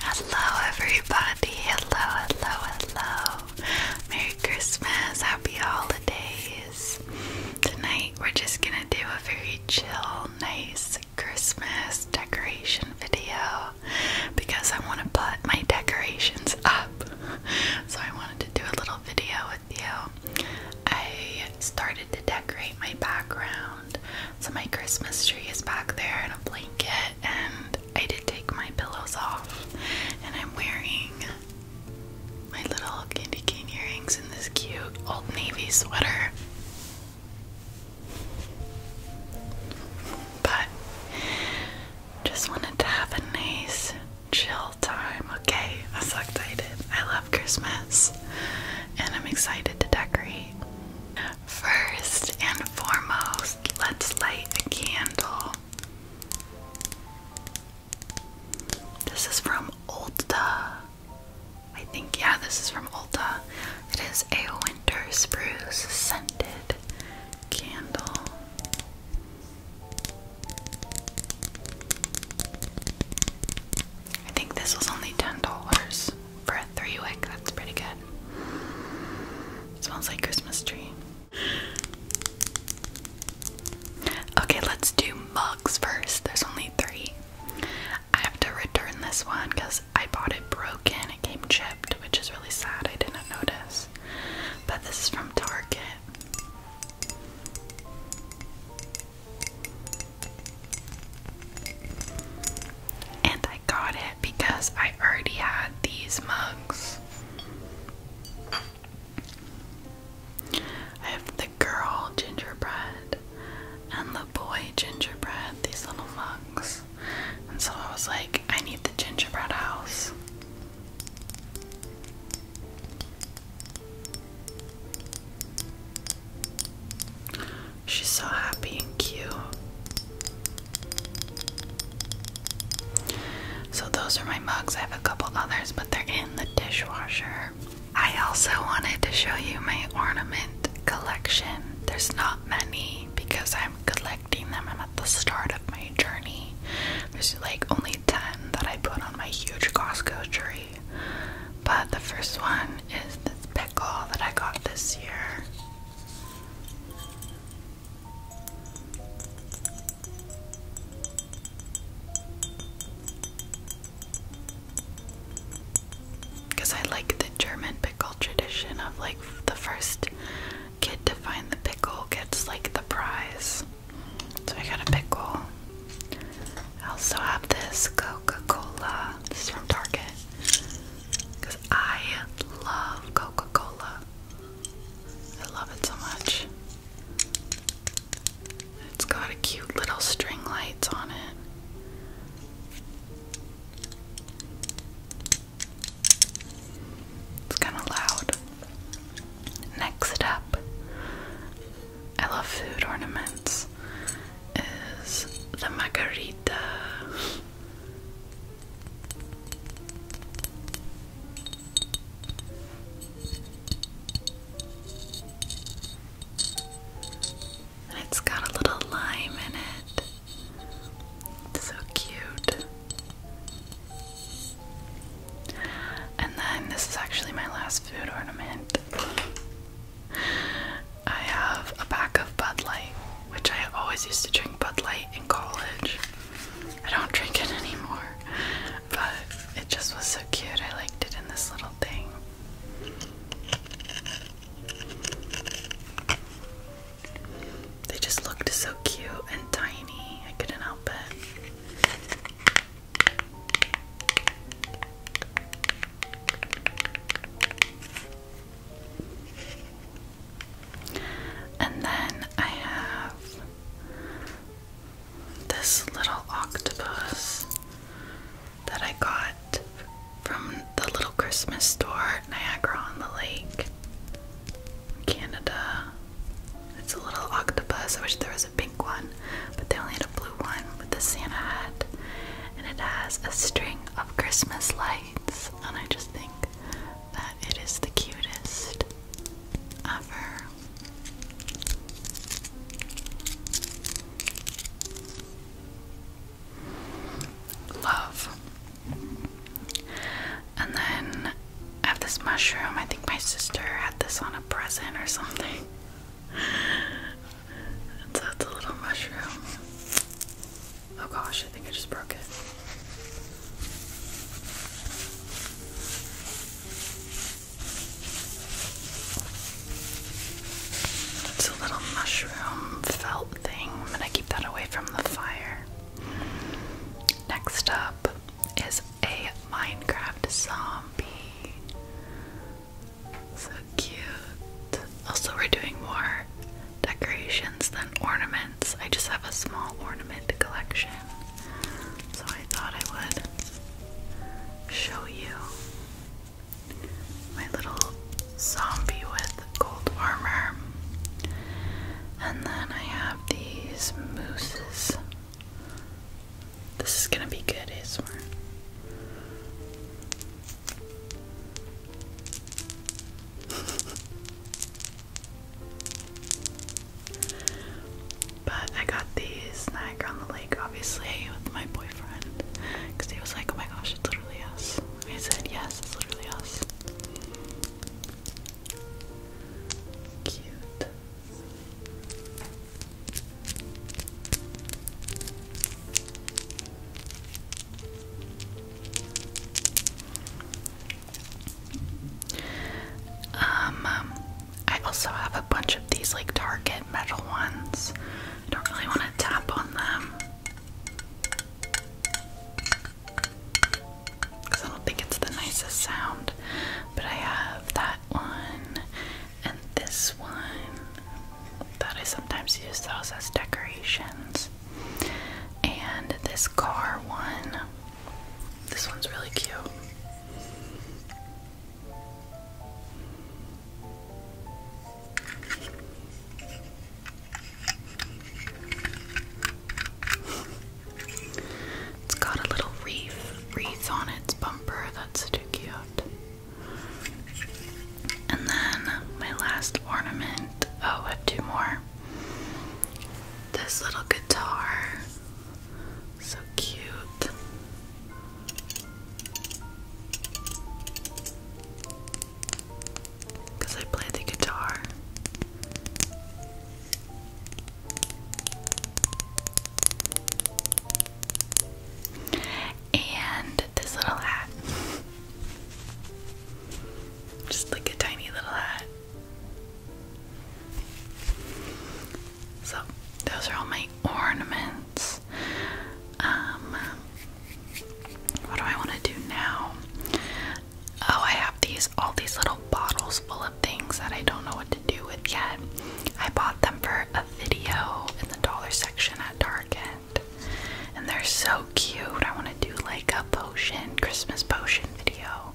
Hello, everybody. Hello, hello, hello. Merry Christmas. Happy holidays. Tonight, we're just gonna do a very chill, nice Christmas decoration video because I want to put my decorations up. So, I wanted to do a little video with you. I started to decorate my background. So my Christmas tree is back there in a blanket, and I did take my pillows off, and I'm wearing my little candy cane earrings in this cute old navy sweater. But just wanted to have a nice chill time, okay? I'm so excited. I love Christmas and I'm excited to decorate. First and foremost, let's light a candle. This is from Ulta. I think, yeah, this is from Ulta. It is a winter spruce scented candle. I think this was only $10 for a three wick. That's pretty good. smells like Christmas tree. Okay, let's do mugs first. There's only three. I have to return this one because I bought it broken. It came chipped, which is really sad. I didn't notice. But this is from Target. And I got it because I already had these mugs. I have the girl gingerbread and the boy gingerbread, these little mugs. And so I was like, I need the gingerbread house. She's so happy and cute. So, those are my mugs. I have a couple others, but they're in the dishwasher. I also wanted to show you my ornament collection. There's not many because I'm collecting them. I'm at the start of my journey. There's like only 10 that I put on my huge Costco tree. But the first one is this bag pickle that I got this year. Because I like the German pickle tradition of like the first kid to find the pickle gets like the prize. So I got a pickle. I also have this Coca Cola. This is from Target. Because I love Coca Cola. I love it so much. It's got a cute little string lights on it. It's kind of loud. Next up, I love food ornaments is the margarita. it's got a little lime in it. so cute. And then this is actually my last food ornament. I have a pack of Bud Light, which I always used to drink Bud Light in college. I don't drink it anymore, but it just was so cute. I liked it in this little thing. They just looked so cute and tiny. I couldn't help it. And then I have this little octopus that I got from the little Christmas store at Niagara on the Lake, Canada. It's a little octopus. I wish there was a pink one, but they only had a blue one with the Santa hat and it has a string of Christmas lights, and I just think that it is the cutest ever. Love. And then I have this mushroom. I think my sister had this on a present or something so it's a little mushroom. Oh gosh, I think I just broke it. It's a little mushroom felt thing. I'm gonna keep that away from the fire. Next up is a Minecraft zombie. So cute. Also, we're doing more decorations than ornaments. I just have a small ornament collection. So I thought I would show you my little zombie with gold armor. And then I have these mooses. This is gonna be good, is ASMR but I got the snack on the lake, obviously, with my boyfriend. Because he was like, oh my gosh, it's literally us. I said, yes, it's literally us. Cute. Um, um, I also have a bunch of these like Target metal ones. I don't really want to tap on them because I don't think it's the nicest sound. But I have that one and this one that I sometimes use those as decorations. And this car one. This one's really cute. It's got a little wreath wreath on its bumper. That's too cute. And then my last ornament. Oh, I have two more. This little guitar. So cute. Because I play the guitar and this little hat. Just like a tiny little hat. So, those are all my ornaments. Um, what do I want to do now? Oh, I have these all these little bottles full of things that I don't know what to do with yet. I bought them for a video in the dollar section at Target. And they're so cute. I want to do like a potion, Christmas potion video.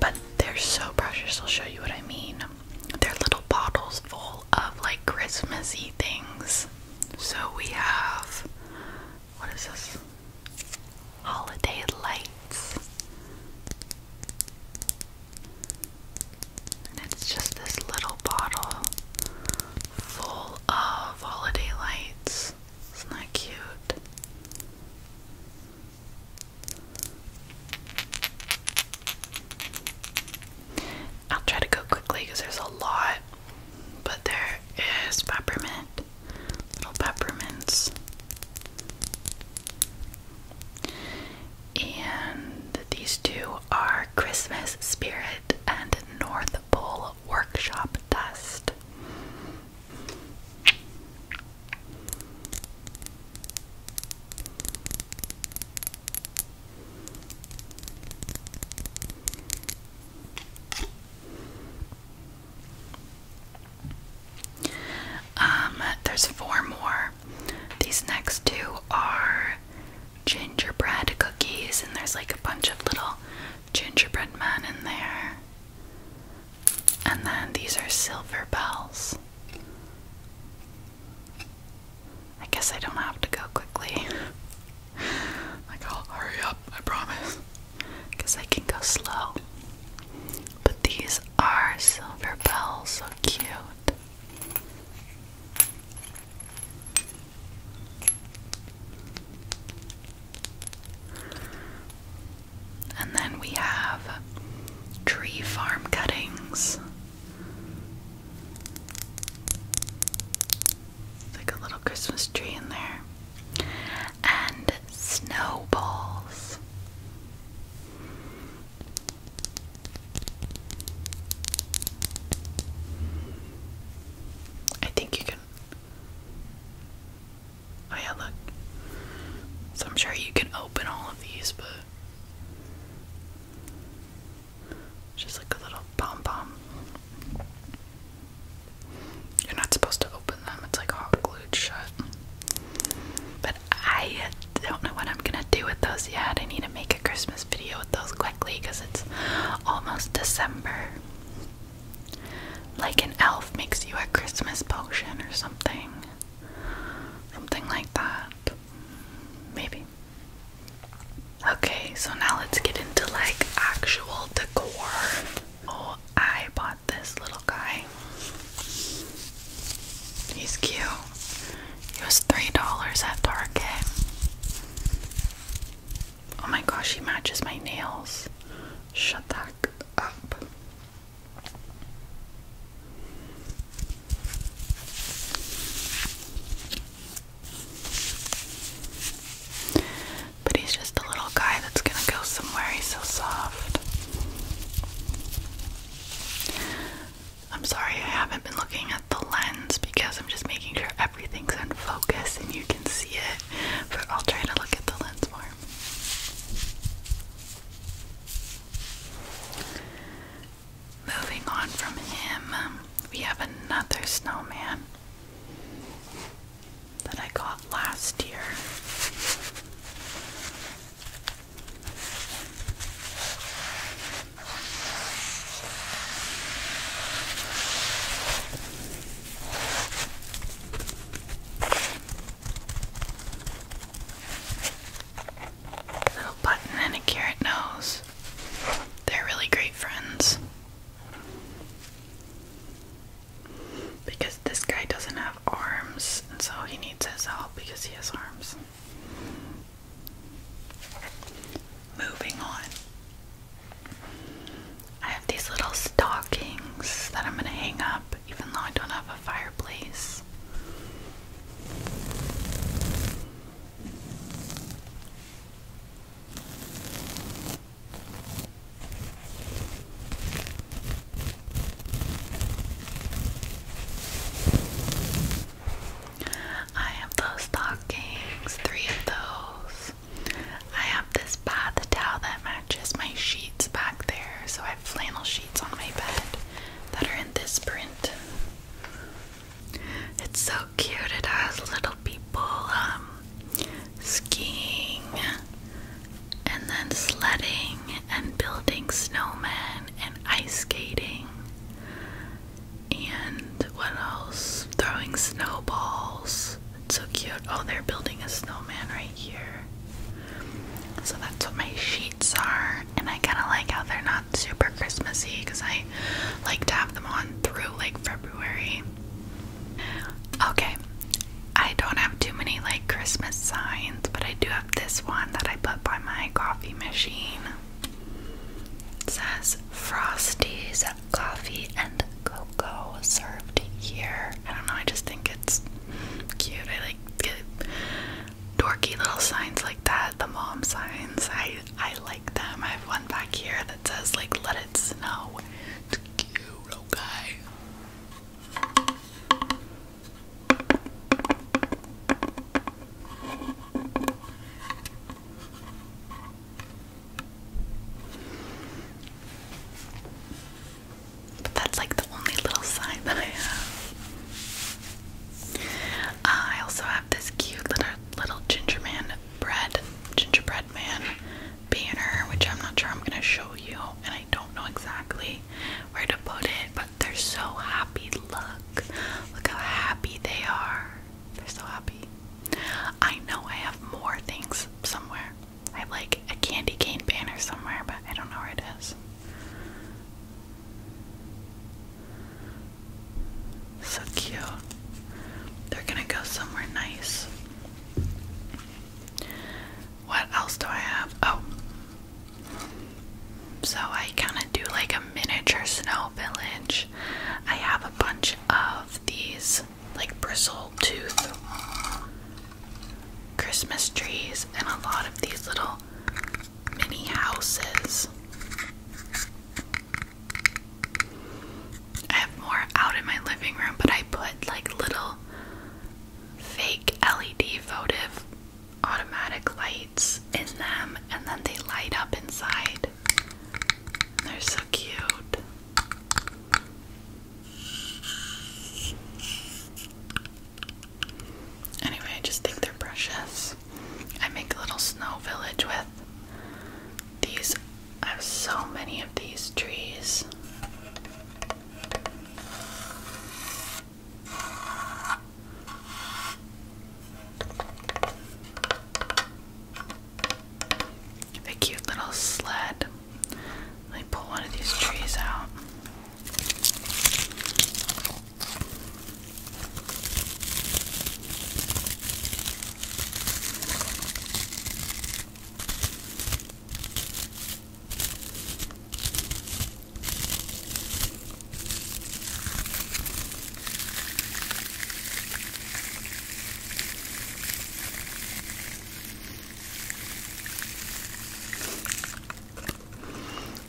But they're so precious. I'll show you what I mean. They're little bottles full of like Christmassy things. So we have what is this? Holiday lights it's just this little bottle full of holiday lights. Isn't that cute? I'll try to go quickly because there's a lot, but there is peppermint, little peppermints. And these two are Christmas Spirit and North Pole Workshop Dust. Um, there's four more these next two are gingerbread cookies, and there's like a bunch of little gingerbread men in there. And then these are silver bells. I guess I don't have to go quickly. like, I'll hurry up, I promise. Because I can go slow. But these are silver bells, so cute. And then we have tree farm cuttings. Like a little Christmas tree in there. And snowballs. I think you can. Oh, yeah, look. So I'm sure you can open all of these, but. Just like a little pom pom. You're not supposed to open them, it's like hot glued shut. I don't know what I'm gonna do with those yet. I need to make a Christmas video with those quickly because it's almost December. Like an elf makes you a Christmas potion or something. Something like that. Maybe. Okay, so now let's get into like actual decor. Oh, I bought this little guy. He's cute. He was three dollars at Target. Oh my gosh, he matches my nails. Shut that up. But he's just a little guy that's gonna go somewhere. He's so soft. I'm sorry I haven't been looking at the lens because I'm just making sure everything's in focus and you can see it, but I'll try to look at the lens more. Moving on from him, we have another snowman that I got last year. Little button and carrot nose. They're really great friends. Because this guy doesn't have arms, so he needs his help because he has arms. Moving on. I have these little stockings that I'm going to hang up even though I don't have a fireplace. I have those stockings, three of those. I have this bath towel that matches my sheets back there, so I have flannel sheets on my bed that are in this print. It's so cute, it has little people um, skiing and then sledding and building snowmen and ice skating and what else? Throwing snowballs. so cute. Oh, they're building a snowman right here. So that's what my sheets are. And I kind of like how they're not super Christmassy because I like to have them on through like February. Okay, I don't have too many like Christmas signs, but I do have this one that I put by my coffee machine. It says Frosty's coffee and cocoa served here. I don't know, I just think it's cute. I like get dorky little signs like that, the mom signs. I I like them. I have one back here that says like let it snow. It's cute, okay. But that's like the only little sign that I have. Uh, I also have this cute little little ginger gingerbread man banner, which I'm not sure I'm gonna show you, and I don't know exactly where to to it, but they're so happy. Look, look how happy they are. They're so happy. I know I have more things somewhere. I have like a candy cane banner somewhere, but I don't know where it is. So cute. They're gonna go somewhere nice. What else do I have? Oh, so I kind of do like a miniature snow village. I have a bunch of these like bristle tooth Christmas trees and a lot of these little mini houses. I have more out in my living room, but I put like little fake LED votive automatic lights in them and then they light up inside. They're so cute. Anyway, I just think they're precious. I make a little snow village with these. I have so many of these trees. A cute little sled. Let me pull one of these trees out.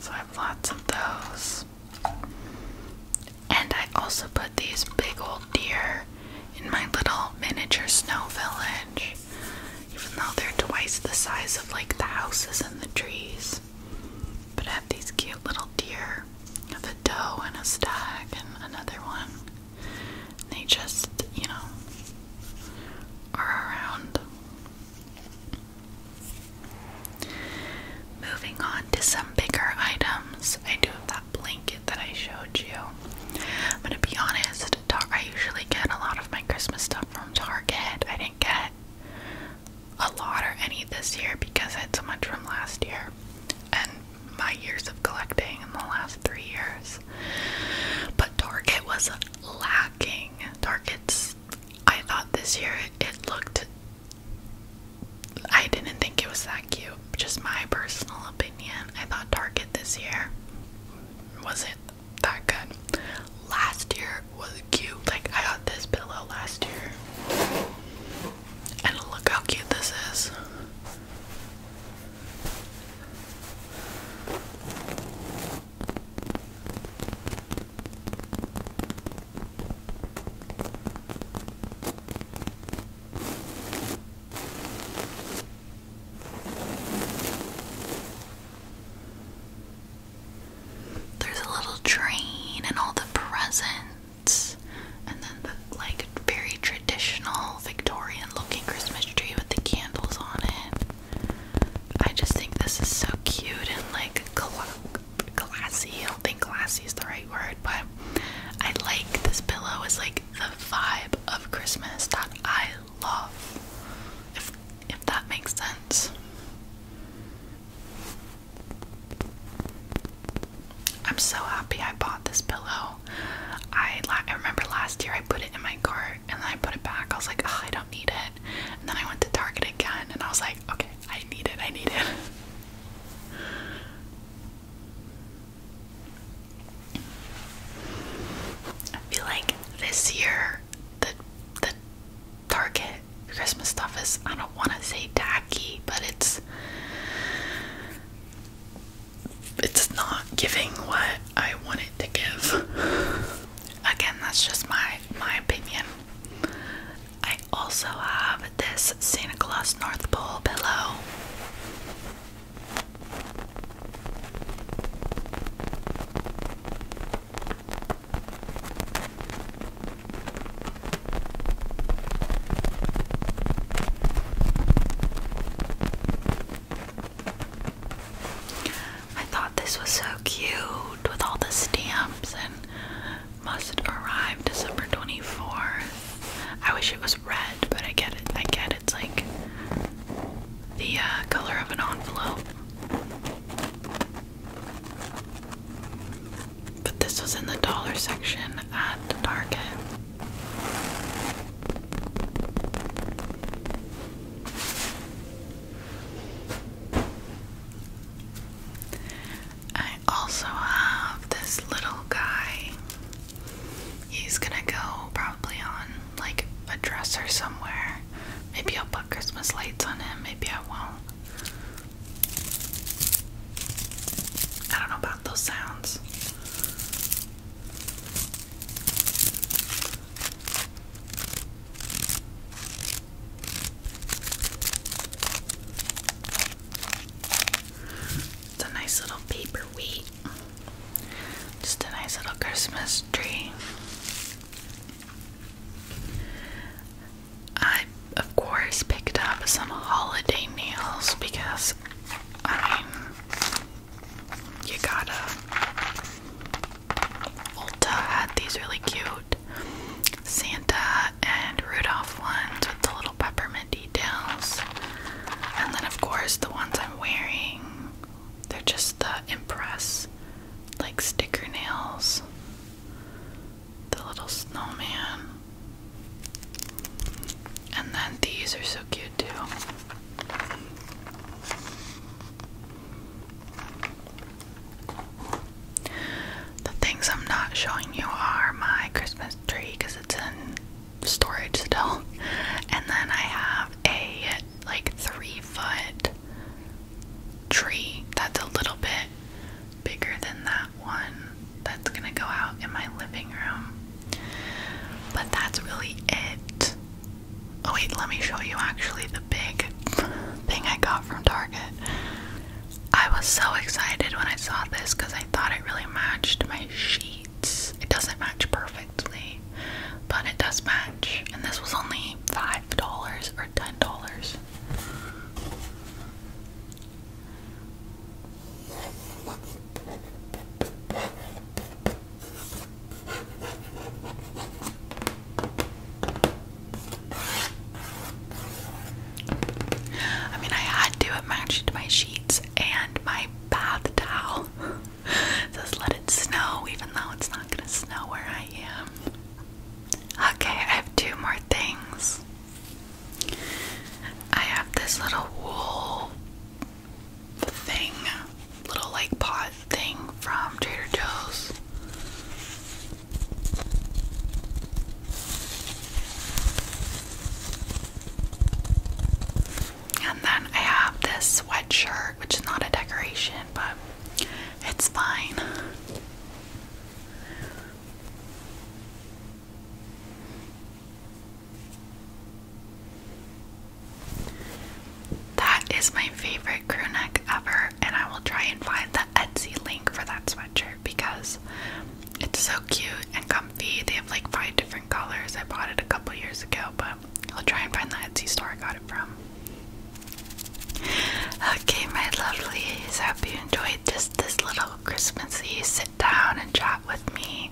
So I have lots of those. And I also put these big old deer in my little miniature snow village. Even though they're twice the size of like the houses and the trees. But I have these cute little deer of a doe and a stag and another one. they just, you know, are around. Moving on to some bigger items. I do have that blanket that I showed you. I'm gonna be honest, I usually get a lot of my Christmas stuff from Target. I didn't get a lot or any this year because I had so much from last year and my years of collecting in the last three years. But Target was lacking. Target's, I thought this year it looked, I didn't think it was that cute. Just my personal opinion. I thought Target this year was it that good. Last year was cute. Like I got this pillow last year. And look how cute this is. There's a little train and all the presents, and then the like very traditional Victorian looking Christmas tree with the candles on it. I just think this is so cute and like classy. I don't think classy is the right word, but I like this pillow. Is like the vibe of Christmas that I love. If if that makes sense. I'm so happy I bought this pillow. I I remember last year I put it in my cart and then I put it back. I was like, I don't need it. And then I went to Target again and I was like, okay, I need it. I need it. I feel like this year the the Target Christmas stuff is I don't want to say tacky, but it's it's not giving what I wanted to give. Again, that's just my my opinion. I also have this Santa Claus North Pole pillow. I thought this was so cute with all the stamps and must arrive December 24th. I wish it was red, but I get it. I get it's like the uh, color of an envelope. But this was in the dollar section at Target. I also have this little guy. He's gonna go probably on like a dresser somewhere. Maybe I'll put Christmas lights on him, maybe I won't. I don't know about those sounds. It's a nice little paper weight. Just a nice little Christmas tree. I, of course, picked up some holiday meals because, I mean, you gotta. Ulta had these really cute Santa and Rudolph ones with the little peppermint details. And then, of course, the ones I'm wearing they're just the impress like sticker nails. The little snowman. And then these are so cute too. The things I'm not showing you are my Christmas tree because it's in storage still. And then I have a like three foot tree that's a little bit bigger than that one that's gonna go out in my living room. But that's really it. Oh, wait, let me show you actually the big thing I got from Target. I was so excited when I saw this because I thought it really matched my sheet. It doesn't match perfectly, but it does match. And this was only $5 or $10. I mean, I had to. It matched my sheets and my bath towel it let it snow, even though it's not gonna snow where I am. Okay, I have two more things. I have this little wool thing, little like pot thing from Trader Joe's. And then I have this sweatshirt, which is not a decoration, but it's fine. That is my favorite crew neck ever, and I will try and find the Etsy link for that sweatshirt because it's so cute and comfy. They have like five different colors. I bought it a couple years ago, but I'll try and find the Etsy store I got it from. Okay, my lovelies, hope you enjoyed just this little Christmassy sit down and chat with me.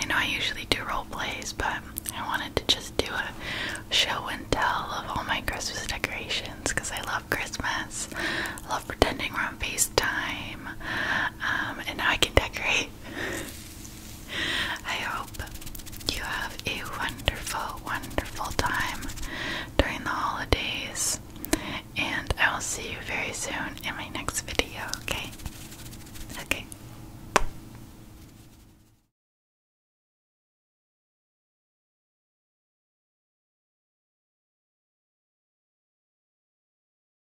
I know I usually do role plays, but I wanted to just do a show and tell of all my Christmas decorations because I love Christmas. I love pretending we're on FaceTime, um, and now I can decorate. I hope you have a wonderful, wonderful time during the holidays, and I will see you very soon in my next video, okay? Okay.